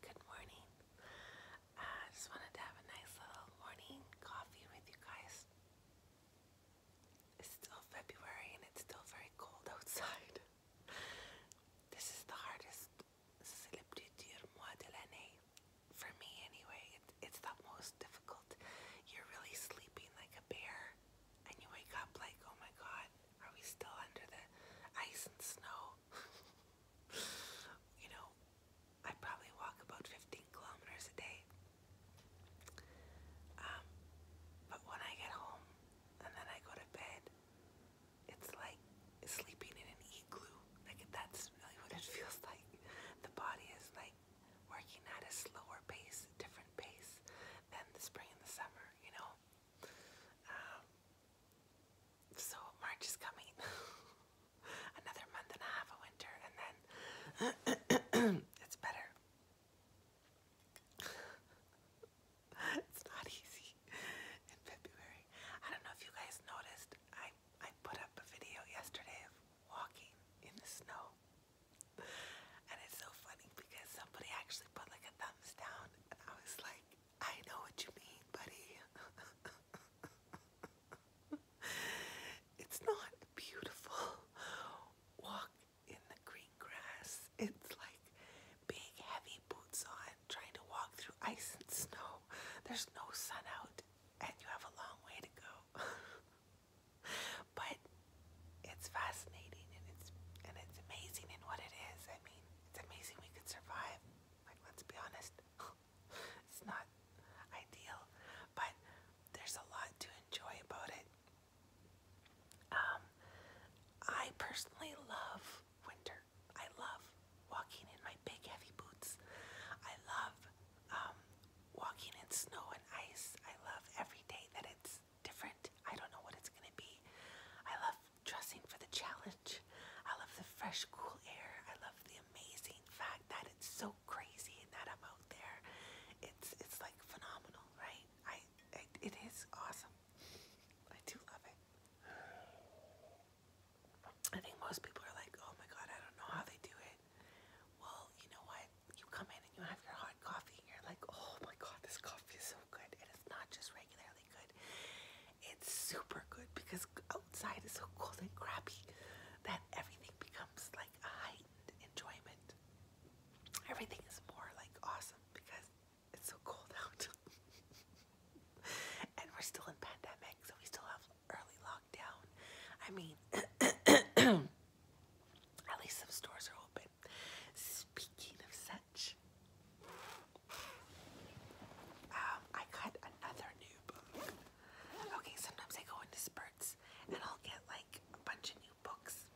Good morning. I just wanted to have a nice little morning coffee with you guys. It's still February and it's still very cold outside. This is the hardest mois de l'année for me, anyway. It, it's the most difficult. You're really sleeping like a bear and you wake up like, oh my god, are we still under the ice and snow? you know, I probably walk about 15 kilometers a day. Um, but when I get home and then I go to bed, it's like sleeping in an igloo. Like that's really what it feels like. The body is like working at a slower pace, different different than the spring and the summer, you know? Um, so March is coming. Another month and a half of winter, and then it's better. it's not easy in February. I don't know if you guys noticed, I, I put up a video yesterday of walking in the snow and it's so funny because somebody actually put like a thumbs down, and I was like, I know what you mean, buddy. it's not beautiful walk in the green grass. It's like big, heavy boots on, trying to walk through ice and snow. There's no sun out, and you have a long way to go. but it's fascinating and it's and it's amazing in what it is. I mean, it's amazing we could survive. Like let's be honest. it's not ideal, but there's a lot to enjoy about it. Um I personally love winter. I love walking in my big heavy boots. I love um walking in snow and ice. I love every day that it's different. I don't know what it's gonna be. I love dressing for the challenge. I love the fresh, cool air. I love the amazing fact that it's so crazy and that I'm out there. It's it's like phenomenal, right? I, I it is awesome. I do love it. I think most people are like, oh my god, I don't know how they do it. Well, you know what? you come in and you have your hot coffee and you're like, oh my god, this coffee is so good. it's not just regularly good. It's super good because outside is so cold and crappy that everything becomes like a heightened enjoyment. Everything is more like awesome because it's so cold out. and we're still in pandemic, so we still have early lockdown. I mean At least some stores are open. Speaking of such, um, I got another new book. Okay, sometimes I go into spurts and I'll get like a bunch of new books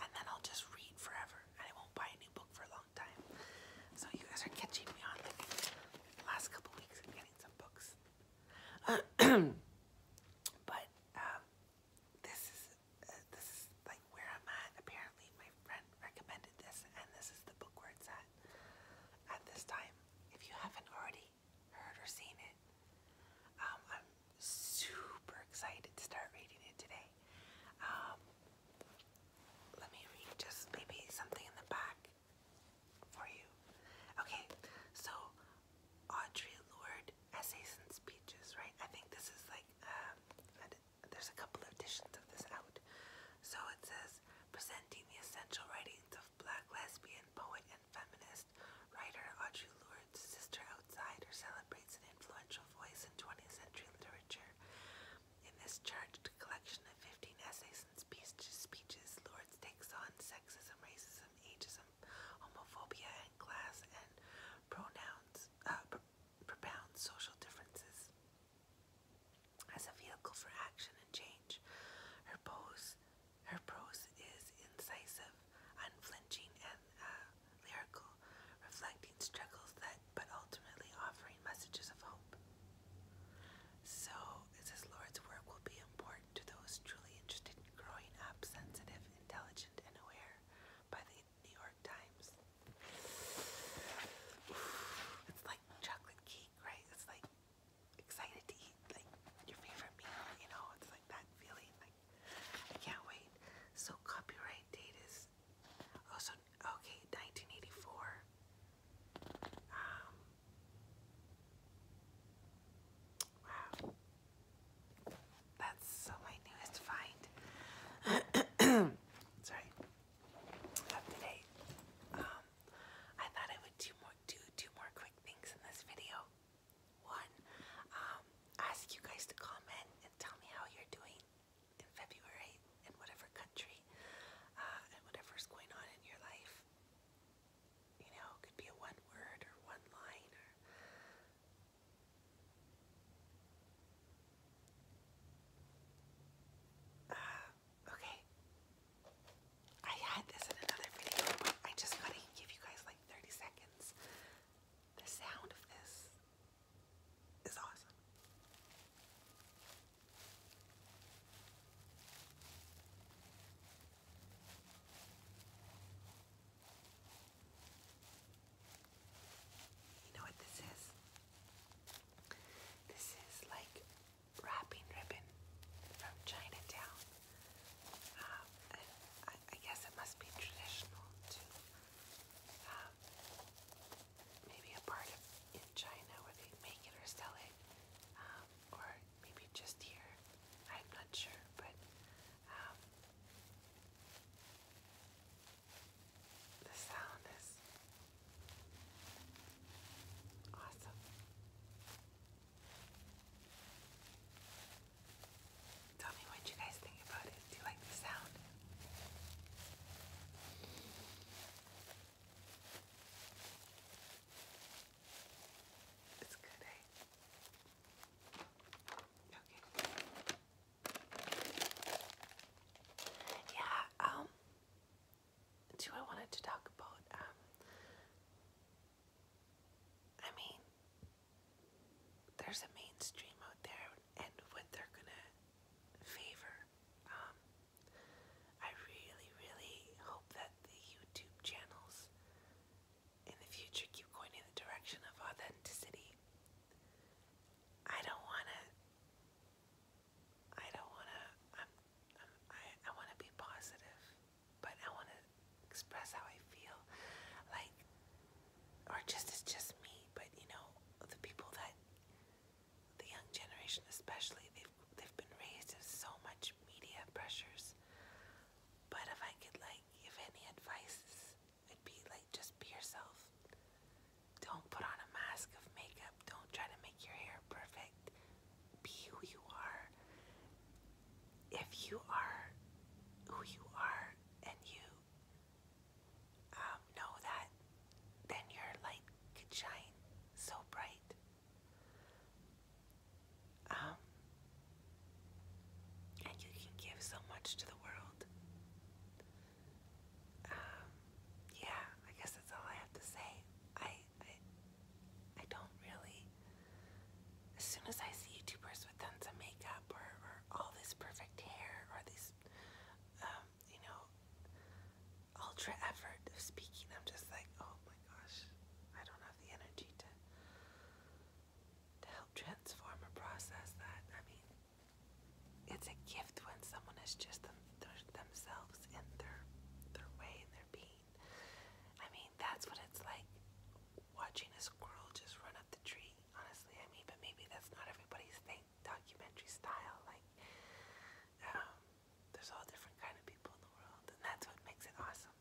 and then I'll just read forever and I won't buy a new book for a long time. So you guys are catching me on the last couple weeks i getting some books. but um, this is uh, this is like where I'm at. Apparently, my friend recommended this, and this is the book where it's at at this time. If you haven't already heard or seen it, um, I'm super excited to start reading it today. Um, let me read just maybe something in the back for you. Okay, so Audrey Lorde Essays and Speeches, right? I think this is like, um, there's a couple editions of this out. So it says, presenting the essential writings of black lesbian, poet, and feminist writer Audre Lorde's Sister Outsider celebrates an influential voice in 20th century literature. In this charged collection of 15 essays and speeches Lorde takes on sexism, racism, ageism, racism, homophobia, and class and pronouns, uh, pr propound social differences as a vehicle for action and change. Her pose, her prose is incisive, unflinching, and uh, lyrical, reflecting struggles that, but ultimately offering messages of hope. So, it says Lord's work will be important to those truly interested in growing up sensitive, intelligent, and aware by the New York Times. It's like chocolate cake, right? It's like excited to eat like your favorite meal, you know, it's like that feeling like I can't wait. So copyright date is also okay, 1984. Um, wow. That's my newest find. Sorry. Up Um, I thought I would do more do two more quick things in this video. One, um, ask you guys to comment and tell me how you're doing in February in whatever country uh, and whatever's going on in your life you know, it could be a one word or one line ah, okay. I had this in another video, but I just gotta give you guys like 30 seconds. The sound of this is awesome. You know what this is? This is like wrapping ribbon from Chinatown. Um, I, guess it must be traditional to um, maybe a part of in China where they make it or sell it, um, or maybe just here. I'm not sure, but um, the sound is awesome. Tell me what you guys think about it. Do you like the sound? It's good, eh? Yeah, um do I wanted to talk about um, I mean there's a mainstream out there and what they're gonna favor. Um I really, really hope that the YouTube channels in the future keep going in the direction of authenticity. I don't wanna I don't wanna i i wanna be positive but I wanna express how I feel. Like or just it's just me, but you know, the people that the young generation especially they've they've been raised in so much media pressures but if I could like give any advice, it'd be like just be yourself. Don't put on a mask of makeup. Don't try to make your hair perfect. Be who you are. If you are who you are and you um, know that, then your light could shine so bright. Um, and you can give so much to the world. Um, yeah, I guess that's all I have to say. I, I, don't really. As soon as I see YouTubers with tons of makeup or, all this perfect hair or this, um, you know, ultra effort of speaking, I'm just like, oh gosh, I don't have the energy to to help transform or process that. I mean, it's a gift when someone is just themselves in their their way and their being. I mean, that's what it's like watching a squirrel just run up the tree. Honestly, I mean, but maybe that's not everybody's thing. Documentary style, like um, there's all different kind of people in the world, and that's what makes it awesome.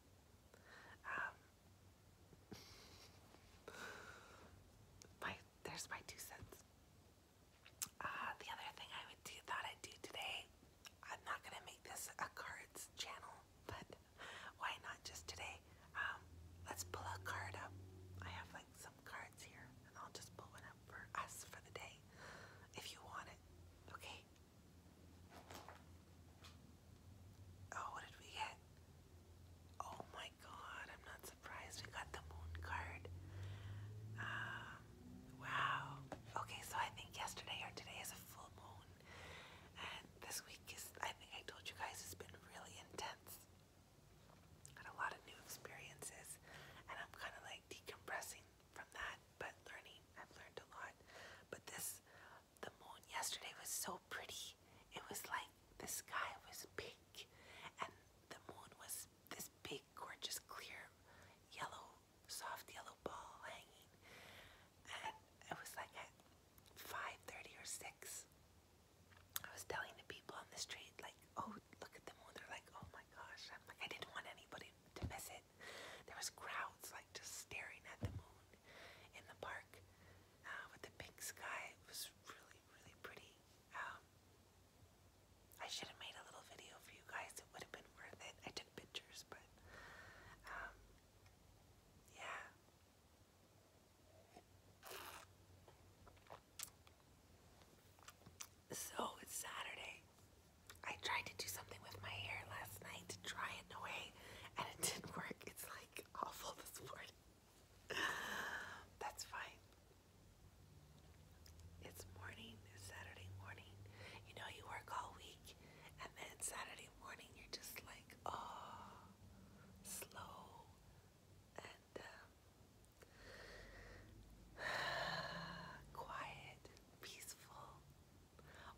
Um, my there's my two cents. Uh, the other thing I would do thought I'd do today, I'm not gonna make this a cards channel, but why not just today? Um, let's pull a card up. I have like some cards here, and I'll just pull one up for us for the day if you want it. Okay. Oh, what did we get? Oh my god, I'm not surprised we got the moon card. Um, wow. Okay, so I think yesterday or today is a full moon. And this week is, I think I told you guys, it's been really intense. Had a lot of new experiences, and I'm kind of like decompressing from that, but learning. I've learned a lot. But this the moon yesterday was so pretty. It was like the sky was pink and the moon was this big, gorgeous, clear, yellow, soft yellow ball hanging. And it was like at 5.30 or 6. I was telling the people on the street, like, oh, look at the moon. They're like, oh my gosh. I'm like, I didn't want anybody to miss it. There was crowds like just staring at the moon in the park uh, with the pink sky. It was really, really pretty. Um, I should have made a little video for you guys. It would have been worth it. I took pictures, but um, yeah. So it's Saturday. I tried to do something with my hair last night to dry it away, and it didn't work. It's like awful this morning. That's fine. It's morning, it's Saturday morning. You know, you work all week, and then Saturday morning, you're just like, oh, slow. And um, quiet, peaceful,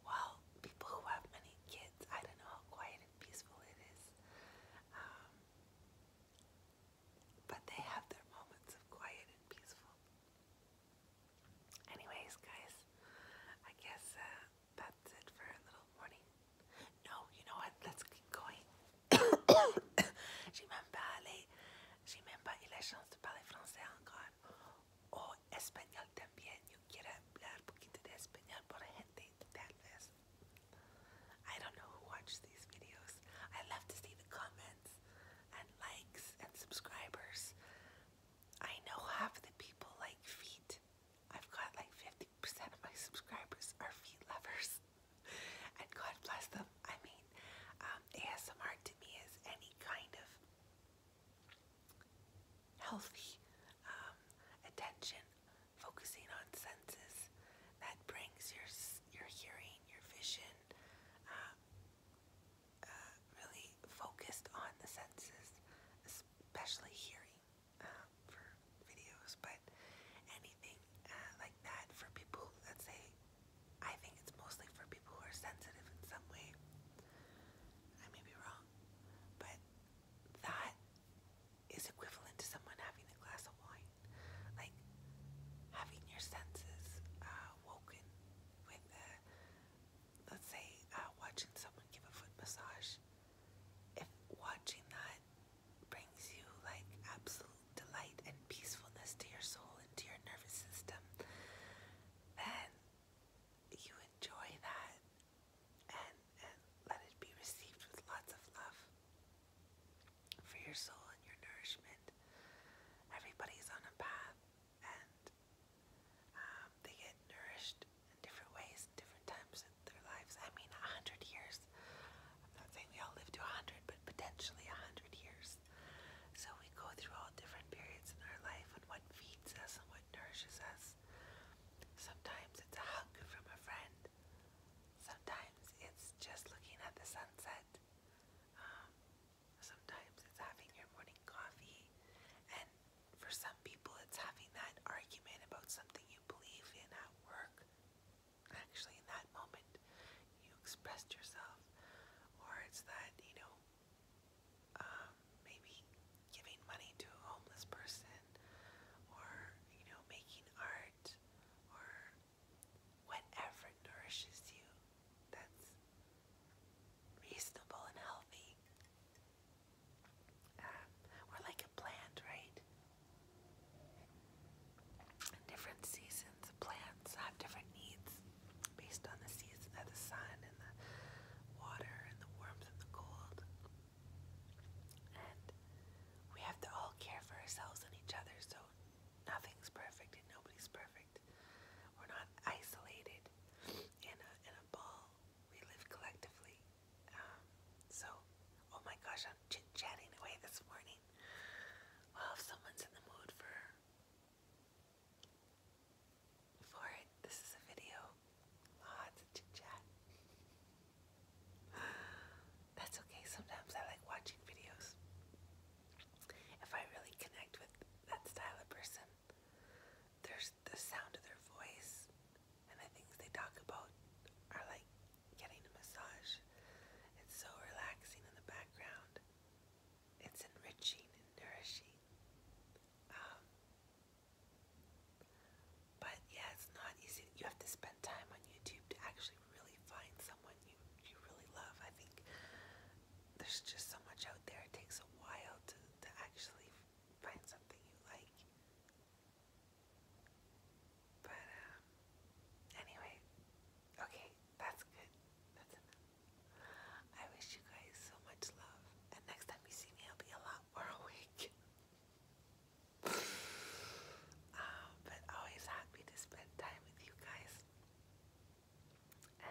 well, people who have many kids, I don't know how quiet and peaceful it is. Um, but they have their moments of quiet and peaceful. Anyways, guys, I guess uh, that's it for a little morning. No, you know what? Let's keep going. español también. Yo quiero hablar un poquito de español para gente, tal vez. I don't know who watches these videos. I love to see the comments and likes and subscribers. I know half the people like feet. I've got like 50% of my subscribers are feet lovers. And God bless them. I mean, um, ASMR to me is any kind of healthy um, attention, focusing on senses. That brings your your hearing, your vision, um, uh, really focused on the senses, especially hearing um, for videos. But anything uh, like that for people, let's say, I think it's mostly for people who are sensitive in some way. I may be wrong, but that is equivalent to someone having a glass of wine. Like having your senses uh, woken with, let's say, uh, watching someone give a foot massage. If watching that brings you like absolute delight and peacefulness to your soul and to your nervous system, then you enjoy that and and let it be received with lots of love for your soul and your nourishment. Everybody is on a path and um, they get nourished in different ways, different times in their lives. I mean, a hundred years. I'm not saying we all live to a hundred, but potentially a hundred years. So we go through all different periods in our life and what feeds us and what nourishes us. Sometimes it's a hug from a friend. Sometimes it's just looking at the sunset. Um, sometimes it's having your morning coffee. And for some people, it's having that argument about something you believe in at work. Actually, in that moment, you expressed yourself. Or it's that, you know, um, maybe giving money to a homeless person or, you know, making art or whatever nourishes you that's reasonable and healthy. we're um, like a plant, right? different seasons, plants have different needs based on the season of the sun and the water and the warmth and the cold. And we have to all care for ourselves and each other, so nothing's perfect and nobody's perfect. We're not isolated in a, in a ball. We live collectively. Um, so, oh my gosh, I'm chit chatting away this morning. Well, someone's in the mood for for it. This is a video. Lots ah, of chit chat. That's okay. Sometimes I like watching videos. If I really connect with that style of person, there's the sound of their voice and the things they talk about are like getting a massage. It's so relaxing in the background. It's enriching and nourishing. Um, but yeah, it's not easy. You have to spend time on YouTube to actually really find someone you you really love. I think there's just so much out there. It takes a while to to actually find something you like. But um, anyway, okay, that's good. That's enough. I wish you guys so much love. And next time you see me, I'll be a lot more awake. Um, but always happy to spend time with you guys.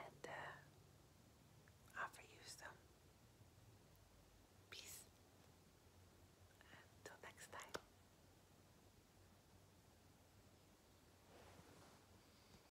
And uh, offer you some peace. Until next time.